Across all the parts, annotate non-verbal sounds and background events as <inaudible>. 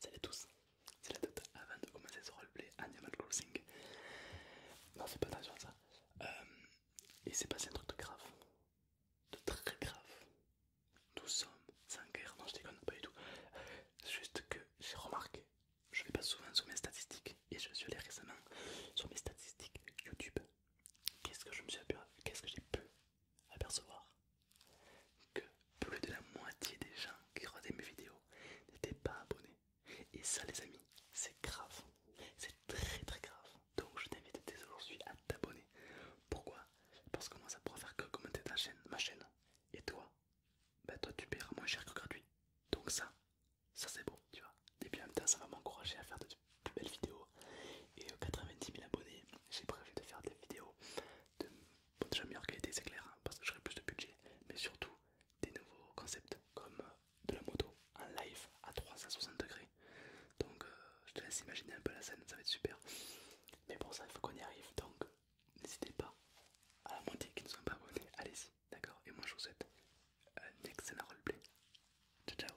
Salut à tous, c'est la date avant de commencer ce roleplay Animal Crossing. Non, c'est pas attention ça. Euh, il s'est passé un truc de grave, de très grave. Nous sommes sans guerre, non, je déconne pas du tout. Euh, juste que j'ai remarqué, je vais pas souvent sur mes statistiques et je suis allé récemment sur mes statistiques YouTube. Qu'est-ce que je me suis qu'est-ce que j'ai pu apercevoir que plus de la moitié des gens qui regardaient mes vidéos n'étaient pas abonnés. Et ça les amis, c'est grave, c'est très très grave. Donc je t'invite dès aujourd'hui à t'abonner. Pourquoi Parce que moi ça pourra faire que commenter ta chaîne, ma chaîne. Et toi Bah toi tu paieras moins cher que gratuit. Donc ça, ça c'est beau, tu vois. Et puis en même temps ça va m'encourager à faire de plus belles vidéos. Et aux 90 000 abonnés, j'ai prévu de faire des vidéos de meilleures déjà meilleure qualité, c'est clair, hein, parce que j'aurai plus de budget, mais surtout des nouveaux concepts comme euh, de la moto en live à 360 degrés. Donc euh, je te laisse imaginer un peu la scène, ça va être super. Mais pour ça, il faut qu'on y arrive. Donc n'hésitez pas à la moitié qui ne sont pas abonnés, allez-y, d'accord Et moi, je vous souhaite un excellent roleplay. Ciao, ciao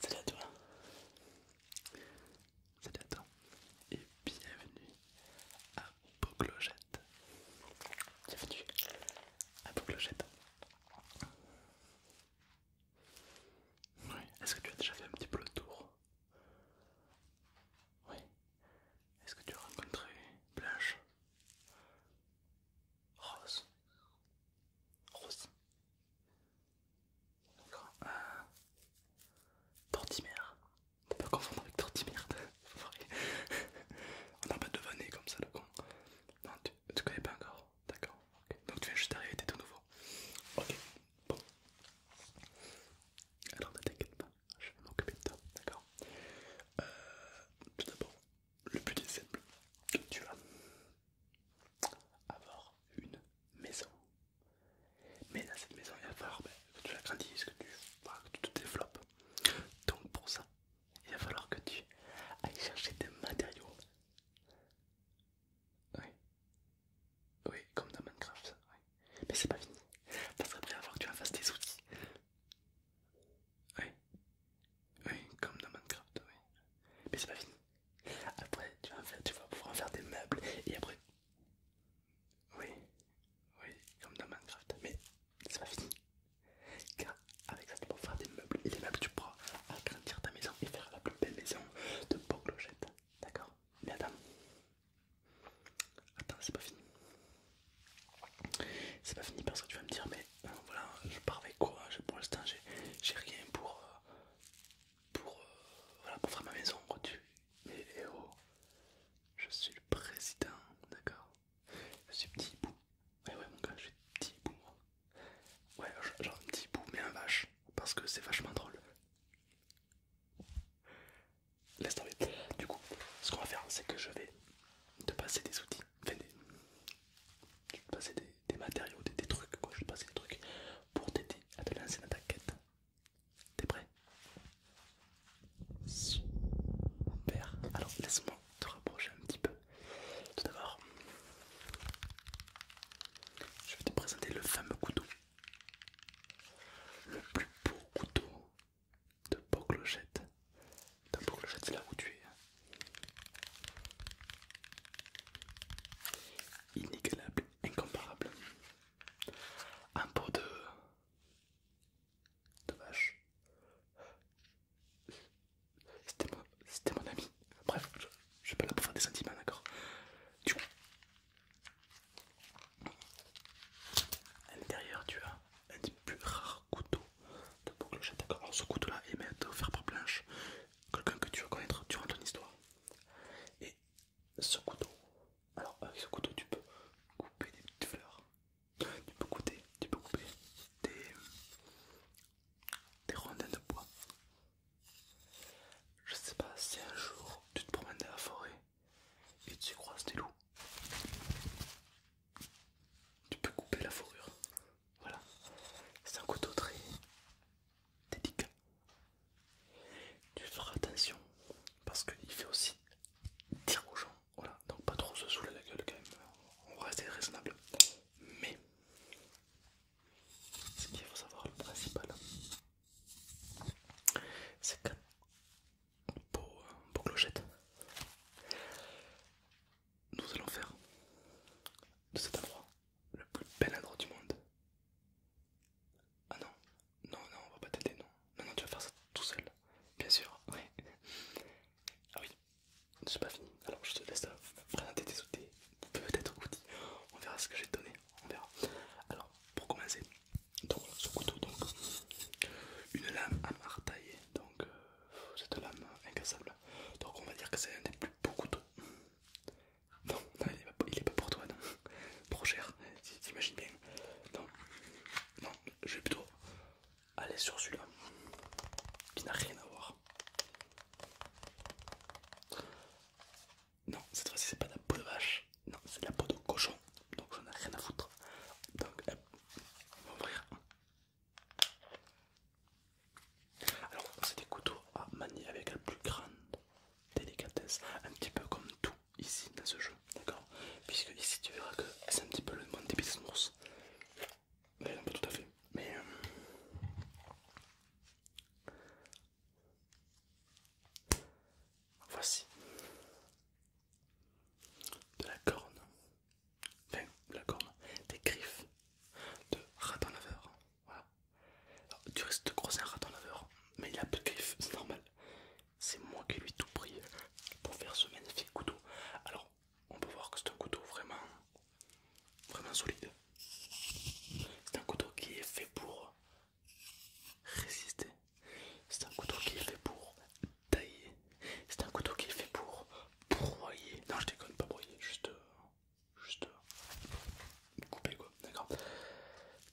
Salut à toi. Salut à toi et bienvenue à Boclogette. Bienvenue à Boclogette. Oui, est-ce que tu as déjà fait un petit peu le tour Oui. Est-ce que tu as rencontré Blanche Rose Rose. D'accord. t'es euh, Tortimère. pas confondre avec Tortimère. <laughs> <laughs> On a pas de devané comme ça le con. Non, tu, tu connais pas encore. D'accord. Donc tu viens juste d'arriver, t'es tout nouveau. Ok. Bon. Alors ne t'inquiète pas, je vais m'occuper de toi. D'accord. Euh, tout d'abord, le but est simple. Tu vas avoir une maison. Mais dans cette maison, il va falloir ben, que tu la que tu, tu te développes. Donc pour ça, il va falloir que tu ailles chercher des matériaux. Oui. Oui, comme dans Minecraft, Mais c'est pas fini. Ça serait il va falloir que tu en fasses des outils. Oui, comme dans Minecraft, oui. Mais c'est pas fini. Après, tu vas, faire, tu vas pouvoir faire des meubles et après. Oui, oui, comme dans Minecraft. Mais c'est pas fini. Car avec ça, tu pourras faire des meubles et des meubles, tu pourras agrandir ta maison et faire la plus belle maison de Pau D'accord Mais attends. Attends, c'est pas fini. C'est pas fini parce que tu vas me dire, mais euh, voilà, je pars avec quoi Pour l'instant, j'ai rien pour, euh, pour, euh, voilà, pour faire ma maison. Mais eh oh, je suis le président, d'accord Je suis petit hibou. Ouais, eh ouais, mon gars, je suis petit hibou, Ouais, genre un petit bout mais un vache, parce que c'est vachement drôle. Laisse tomber. Du coup, ce qu'on va faire, c'est que je vais te passer des outils je vais te passer des, matériaux, des, trucs, quoi. je des trucs pour t'aider à te lancer dans ta quête. T'es prêt Super. Alors laisse-moi te rapprocher un petit peu. Tout d'abord, je vais te présenter le fameux couteau. Le plus beau couteau de beaux clochette De beau clochette c'est là où tu es. Hein. Inégalable, incomparable. Un pot de. de vache. C'était mon, c'était mon ami. Bref, je, suis pas là pour faire des sentiments, d'accord Tu vois. à l'intérieur, tu as un des plus rares couteaux de Boucle D'accord, alors ce couteau-là est offert par Blanche, quelqu'un que tu veux connaître durant ton histoire. Et ce couteau, alors avec ce couteau, tu peux couper des petites fleurs, tu peux couper, tu peux couper des, rondins de bois. Je sais pas si un jour tu te promènes dans la forêt et tu croises des loups tu peux couper la fourrure. Voilà, c'est un couteau très délicat. Tu feras attention parce qu'il fait aussi dire aux Voilà, donc pas trop se saouler la gueule quand même. On va rester raisonnable. Mais ce qu'il faut savoir, le principal, c'est que beau, clochette. Nous allons faire de cet endroit le plus bel endroit du monde. Ah non, non, non, on va pas t'aider, non. Non, tu vas faire ça tout seul, bien sûr, <laughs> Ah oui, c'est pas fini, alors je te laisse présenter tes outils, peut-être outils, on verra ce que je vais te donner, on verra. Alors, pour commencer, donc ce couteau, donc une lame à martailler, donc euh, cette lame incassable. Donc on va dire que c'est un des plus beaux couteaux. Non, il, est pas, pour toi, non. Trop cher, t'imagines bien. Non, non, je vais plutôt aller sur celui-là, qui n'a rien à voir. Non, cette fois-ci c'est pas de la peau de vache, non, c'est de la peau de cochon, donc j'en ai rien à foutre. Donc on va ouvrir Alors, c'est des couteaux à manier avec la plus grande délicatesse, un petit peu comme tout ici dans ce jeu, d'accord Puisque ici tu verras que c'est un petit peu le monde des Mais non, pas tout à fait. Mais. Euh, voici de la corne, enfin la corne, des griffes de raton laveur. Voilà. Alors, tu risques de grossir un raton laveur, mais il a peu de griffes, c'est normal. C'est moi qui lui ai tout pris pour faire ce magnifique couteau. Alors, on peut voir que c'est un couteau vraiment, vraiment solide. C'est un couteau qui est fait pour résister c'est un couteau qui est fait pour tailler. C'est un couteau qui est fait pour broyer. Non, je déconne, pas broyer, juste. Euh, juste. Euh, couper quoi, d'accord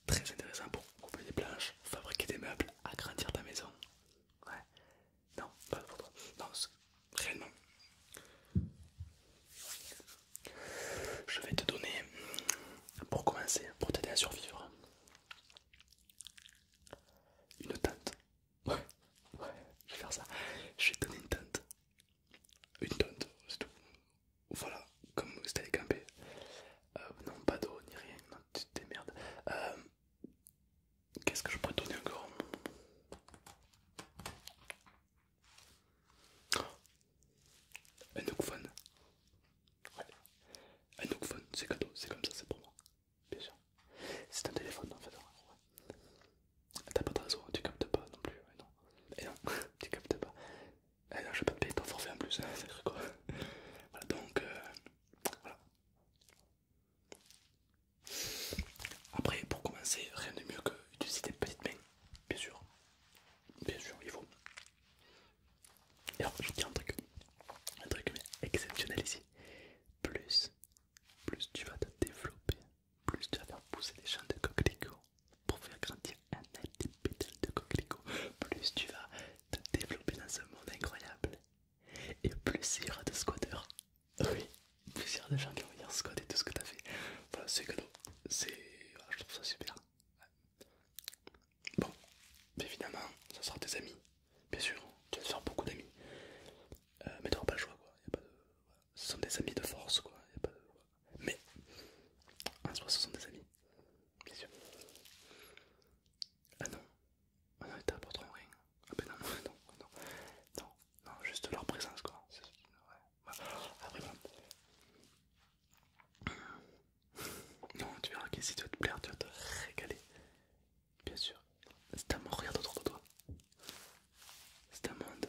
Très intéressant pour couper des planches, fabriquer des meubles, agrandir ta maison. Ouais. Non, pas pour toi. Non, réellement. Je vais te donner, pour commencer, pour t'aider à survivre, une tente, Ouais, ouais, je vais faire ça. Je vais donner une tente Une tente, c'est tout. Voilà, comme c'était les camper. Euh, non, pas d'eau, ni rien, non, tu te démerdes euh, Qu'est-ce que je pourrais donner encore Un oakphone. Ouais. Un oakphone, c'est cadeau, c'est comme ça, c'est pour moi bien sûr. C'est un téléphone en fait. T'as pas de réseau, tu captes pas non plus. Et non, non <laughs> tu captes pas. Et eh non, je vais pas te payer ton forfait en plus, hein, c'est <laughs> quoi. Voilà donc, euh, voilà. Après, pour commencer, rien de mieux que d'utiliser tes petites mains, bien sûr. Bien sûr, il faut alors je tiens un truc, un truc exceptionnel ici. Plus, plus tu vas te développer, plus tu vas faire pousser les champs de coquelicots pour faire grandir un petit de coquelicots, plus tu vas te développer dans un monde incroyable. Et plus il y aura de squatteurs. Ah oui, plus il y aura de gens qui vont venir squatter tout ce que tu as fait. Voilà, c'est cadeau. C'est... je trouve ça super. Bon, évidemment, ce sera tes amis, bien sûr, tu vas te faire beaucoup d'amis, euh, mais tu n'auras pas le choix, quoi. ce sont des amis de force, quoi. mais en soi, ce sont des amis, bien sûr. Ah non, ah non, ils t'apporteront rien. Ah ben non, non, non, non, non, juste leur présence, quoi. Bah, après, bon. Non, tu verras si tu vas te plaire, tu vas te régaler. Bien sûr. C'est un monde, regarde autour de toi. C'est un monde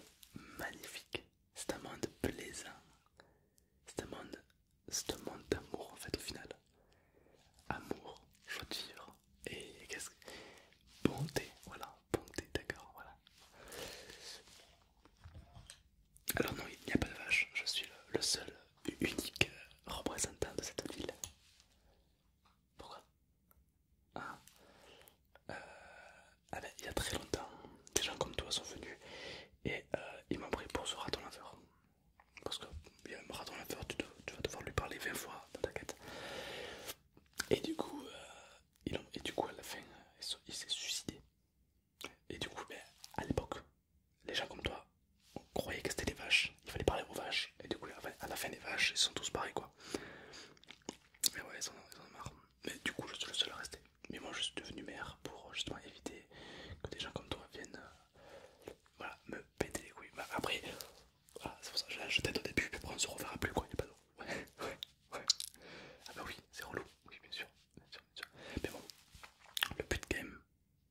magnifique. C'est un monde plaisant. C'est un monde, monde d'amour en fait au final. Amour, joie de vivre et qu'est-ce que... Bonté, voilà, bonté, d'accord, voilà. Alors non, il n'y a pas de vache, je suis le seul unique euh, représentant de cette ville. Pourquoi ah. Euh, ah ben, il y a très longtemps, des gens comme toi sont venus et euh, ils m'ont pris pour ce raton laveur. Parce que il y a un raton laveur, tu, vas devoir lui parler 20 fois dans ta quête. Et du coup, et du coup à la fin, il s'est suicidé. Et du coup, à l'époque, les gens comme toi croyaient que c'était des vaches, il fallait parler aux vaches, et du coup, à la fin des vaches, ils sont tous barrés quoi. Mais ouais, ils en, ont marre. Mais du coup, je suis le seul à rester. Mais moi, je suis devenu maire pour justement éviter que des gens comme toi viennent euh, me péter les couilles. Bah, après, c'est pour ça que je jeté au début, pour après on se reverra plus quoi, du panneau. Ouais, ouais, ouais. Ah bah oui, c'est relou, oui, bien sûr, bien sûr, bien sûr. Mais bon, le but quand même,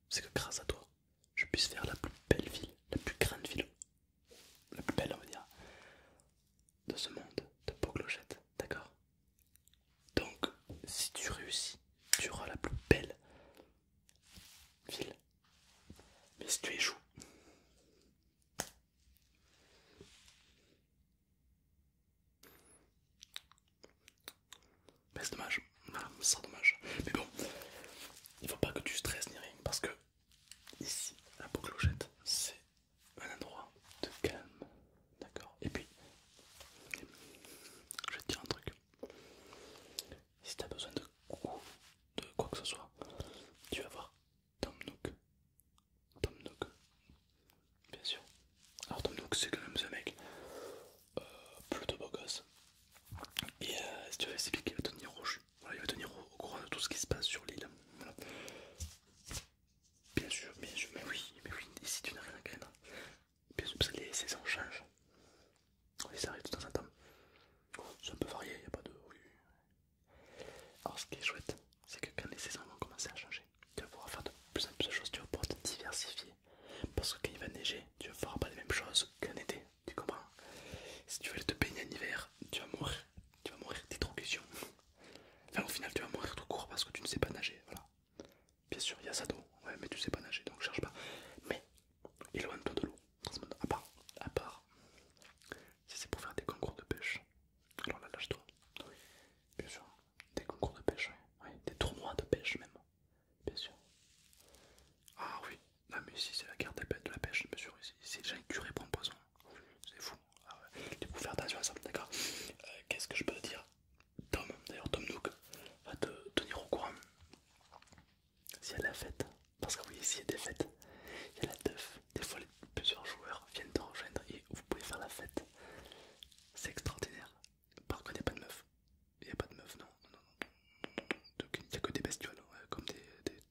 c'est que grâce à toi, je puisse faire la plus belle ville, la plus grande ville, la plus belle, on va dire, de ce monde de Poglochette, d'accord Donc, si tu réussis, tu auras la plus belle ville. Mais si tu échoues, mais bah, c'est dommage, ça c'est dommage. Mais bon, il faut pas que tu stresses ni rien parce que ici, la peau clochette, c'est un endroit de calme, d'accord Et puis, je vais te dire un truc. Si t'as besoin de, de quoi que ce soit, tu vas voir Tom Nook. Tom Nook, bien sûr. Alors Tom c'est quand même ce mec euh, plutôt beau gosse. Et euh, si tu veux c'est lui qui va tenir Voilà, il va tenir au, courant de tout ce qui se passe sur l'île. Bien sûr, bien sûr, mais oui, mais oui, ici tu n'as rien à craindre Bien sûr, parce que les saisons changent. ça arrive de temps en temps. C'est un peu varié, il n'y a pas de. Alors ce qui est chouette, c'est que quand les saisons vont commencer à changer, tu vas pouvoir faire de plus en plus de choses, tu vas pouvoir te diversifier. Parce que quand il va neiger, tu vas pouvoir pas les mêmes choses qu'en été, tu comprends Si tu veux aller te baigner en hiver, tu vas mourir, tu vas mourir question Enfin au final tu vas mourir tout court parce que tu ne sais pas nager, voilà. Bien sûr, il y a ça d'eau, mais tu sais pas nager, donc cherche pas. Mais il éloigne-toi de l'eau, à part, à part si c'est pour faire des concours de pêche, alors là lâche-toi. bien sûr. Des concours de pêche, oui. Des tournois de pêche même, bien sûr. Ah oui, non mais ici c'est la carte de la pêche, bien sûr. Ici, ici les gens curés pour un poisson. C'est fou. Ah du coup, faire attention à ça, d'accord euh, Qu'est-ce que je peux te dire Tom, d'ailleurs Tom Nook, va te tenir au courant. S'il y a la fête, parce que oui, il y a des fêtes, il y a la teuf. Des fois, plusieurs joueurs viennent te rejoindre et vous pouvez faire la fête. C'est extraordinaire. Par contre, il a pas de meuf. Il n'y a pas de meuf, non. non, non, il n'y a que des bestioles, hein, comme des, des,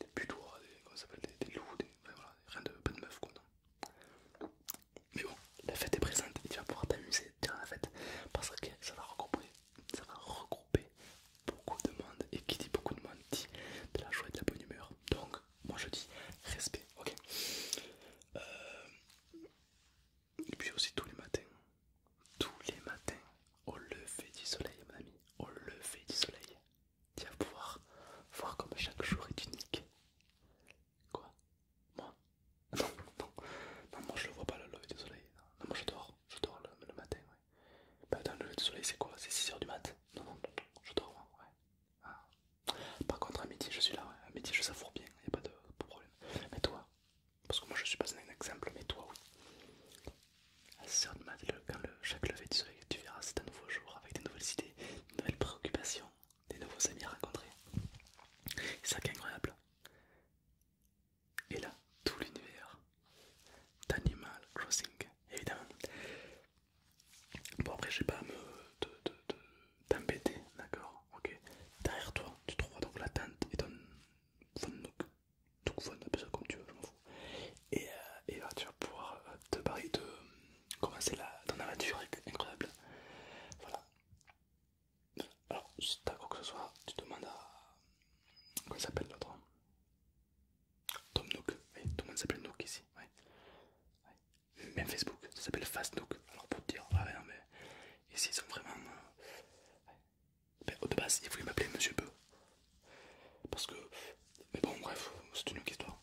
des putois, des, des, loups, rien de, pas de meuf, quoi. Non. Mais bon, la fête est présente et tu vas pouvoir t'amuser durant la fête parce que ça va regrouper, ça va regrouper beaucoup de monde et qui dit beaucoup de monde dit de la joie et de la bonne humeur. Donc, moi je dis respect, ok euh, Et puis aussi tous les matins, tous les matins, au lever du soleil mon ami, au lever du soleil, tu vas pouvoir voir comme chaque jour est unique. Quoi Moi non, non, non, moi je le vois pas le lever du soleil, non, moi je dors, je dors le, matin, ouais. Bah le lever du soleil c'est quoi C'est 6h du matin Non, non, non, je dors, ouais. Ah. Par contre, à midi, je suis là, à midi, je savoure bien, il n'y a pas de, problème. Mais toi, parce que moi je suis pas un exemple, mais toi, oui. À 6h quand le, chaque lever du soleil, tu verras, c'est un nouveau jour avec des nouvelles idées, des nouvelles préoccupations, des nouveaux amis à rencontrer. C'est ça incroyable. Et là, tout l'univers d'Animal Crossing, évidemment. Bon, après, j'ai pas à me. t'embêter, d'accord Ok. Derrière toi, tu trouveras donc la tente et ton. nook Donc, fun, ça comme tu veux, je m'en fous. Et, euh, tu vas pouvoir euh, te barrer de. commencer la, ton aventure incroyable. Voilà. Alors, si t'as quoi que ce soit, tu demandes à. Comment s'appelle l'autre Tom Nook, oui, tout le monde s'appelle Nook ici, même Facebook, ça s'appelle Fastnook. Alors pour te dire, ah ouais, non mais ici ils sont vraiment. au euh, ben, de base, ils voulaient m'appeler Monsieur Peu. Parce que. Mais bon, bref, c'est une autre histoire.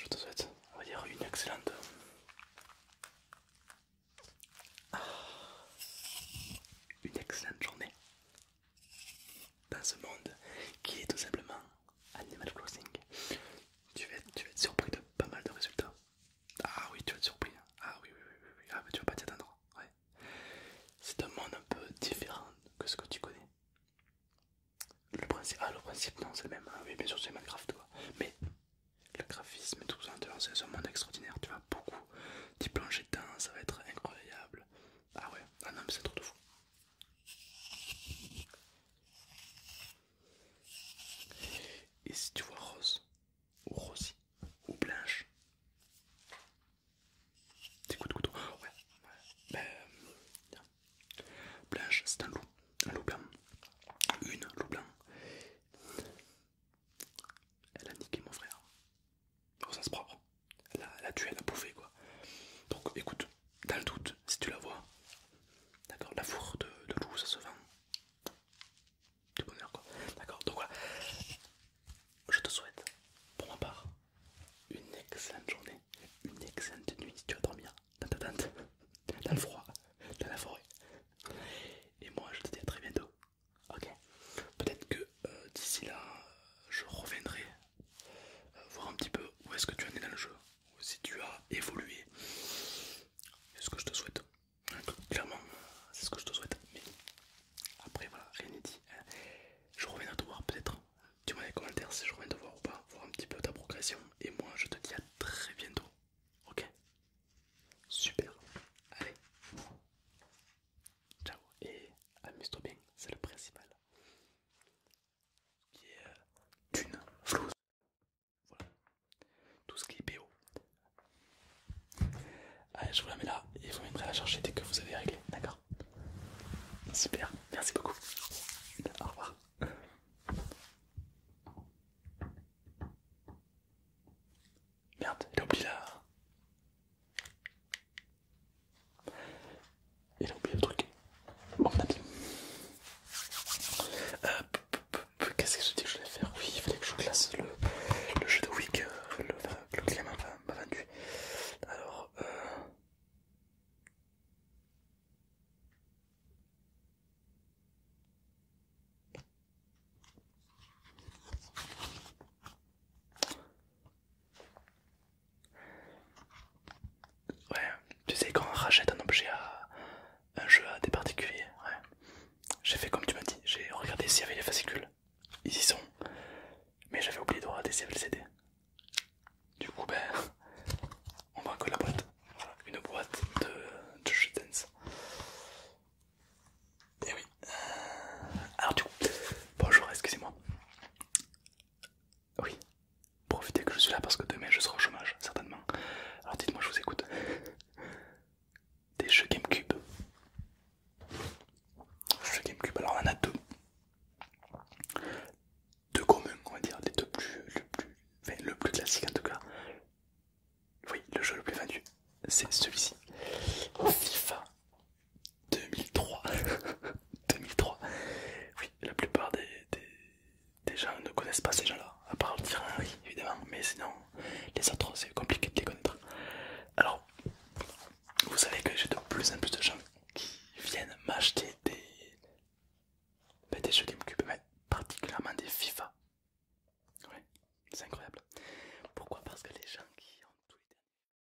Je te souhaite, on va dire, une excellente. Euh, une excellente journée dans ce monde qui est tout simplement Animal Crossing. Tu vas, être, tu vas être surpris de pas mal de résultats. Ah oui, tu vas être surpris. Hein. Ah oui, oui, oui, Ah, tu vas pas t'y attendre. Ouais. C'est un monde un peu différent que ce que tu connais. Le principe, ah, le principe, non, c'est le même. Hein. oui, bien sûr, c'est Minecraft, toi Mais le graphisme tout ça, c'est un monde extraordinaire. Tu vas beaucoup t'y plonger dedans, ça va être incroyable. Ah ouais, ah non, mais c'est trop de fou. Et si tu vois rose, ou rosie, ou blanche, écoute couteau, ouais, ouais. Ben, blanche, c'est un loup, un loup blanc, une loup blanc. Elle a niqué mon frère, au sens propre. Elle a, elle a tué, elle a bouffé quoi. Donc écoute, dans le doute, si tu la vois, d'accord, la fourre de, loup ça se vend de bonheur quoi, d'accord, donc voilà, je te souhaite pour ma part une excellente journée, une excellente nuit si tu vas dormir dans ta tente, dans le froid, dans la forêt, et moi je te dis à très bientôt, ok, peut-être que euh, d'ici là je reviendrai euh, voir un petit peu où est-ce que tu en es dans le jeu, ou si tu as évolué. C'est ce que je te souhaite. Clairement, c'est ce que je te souhaite. Mais après, voilà, rien n'est dit. Euh, je reviens à te voir peut-être. Dis-moi dans les commentaires si je reviens te voir ou pas, voir un petit peu ta progression. Et moi, je te dis à très bientôt. Ok Super. Allez. Ciao. Et amuse-toi bien, c'est le principal qui est euh, Dune, voilà, tout ce qui est PO Allez, ah, je vous la mets là et vous à la chercher dès que vous avez réglé, d'accord Super, merci beaucoup. Au revoir. Merde, j'ai oublié la... Il a oublié le truc. Bon, on dit. Euh, qu'est-ce que je dis que je vais faire Oui, il fallait que je classe le, jeu de wick euh, Le, le, client m'a vendu. Alors, euh... Ouais, tu sais quand on rachète un objet à un jeu à des particuliers, ouais. J'ai fait comme tu m'as dit, j'ai regardé s'il y avait les fascicules. Ils y sont. Mais j'avais oublié de regarder s'il y avait le CD. Du coup ben <laughs> on voit que la boîte. une boîte de, de Et eh oui. Euh, alors du coup. Bonjour, excusez-moi. Oui, profitez que je suis là parce que demain je serai au chômage, certainement. Alors dites-moi, je vous écoute. Des jeux GameCube. Jeux GameCube, alors on en a deux. Deux communs, on va dire, les deux plus. Le plus, le plus classique en tout cas. Oui, le jeu le plus vendu, c'est celui-ci. FIFA 2003. 2003. <laughs> Oui, la plupart des, des, gens ne connaissent pas ces gens-là, à part le oui, évidemment, mais sinon, les autres, c'est compliqué de les connaître. Alors, vous savez que j'ai de plus en plus de gens qui viennent m'acheter des, ben, jeux GameCube, mais particulièrement des FIFA. Oui, c'est incroyable. Pourquoi Parce que les gens qui ont tous les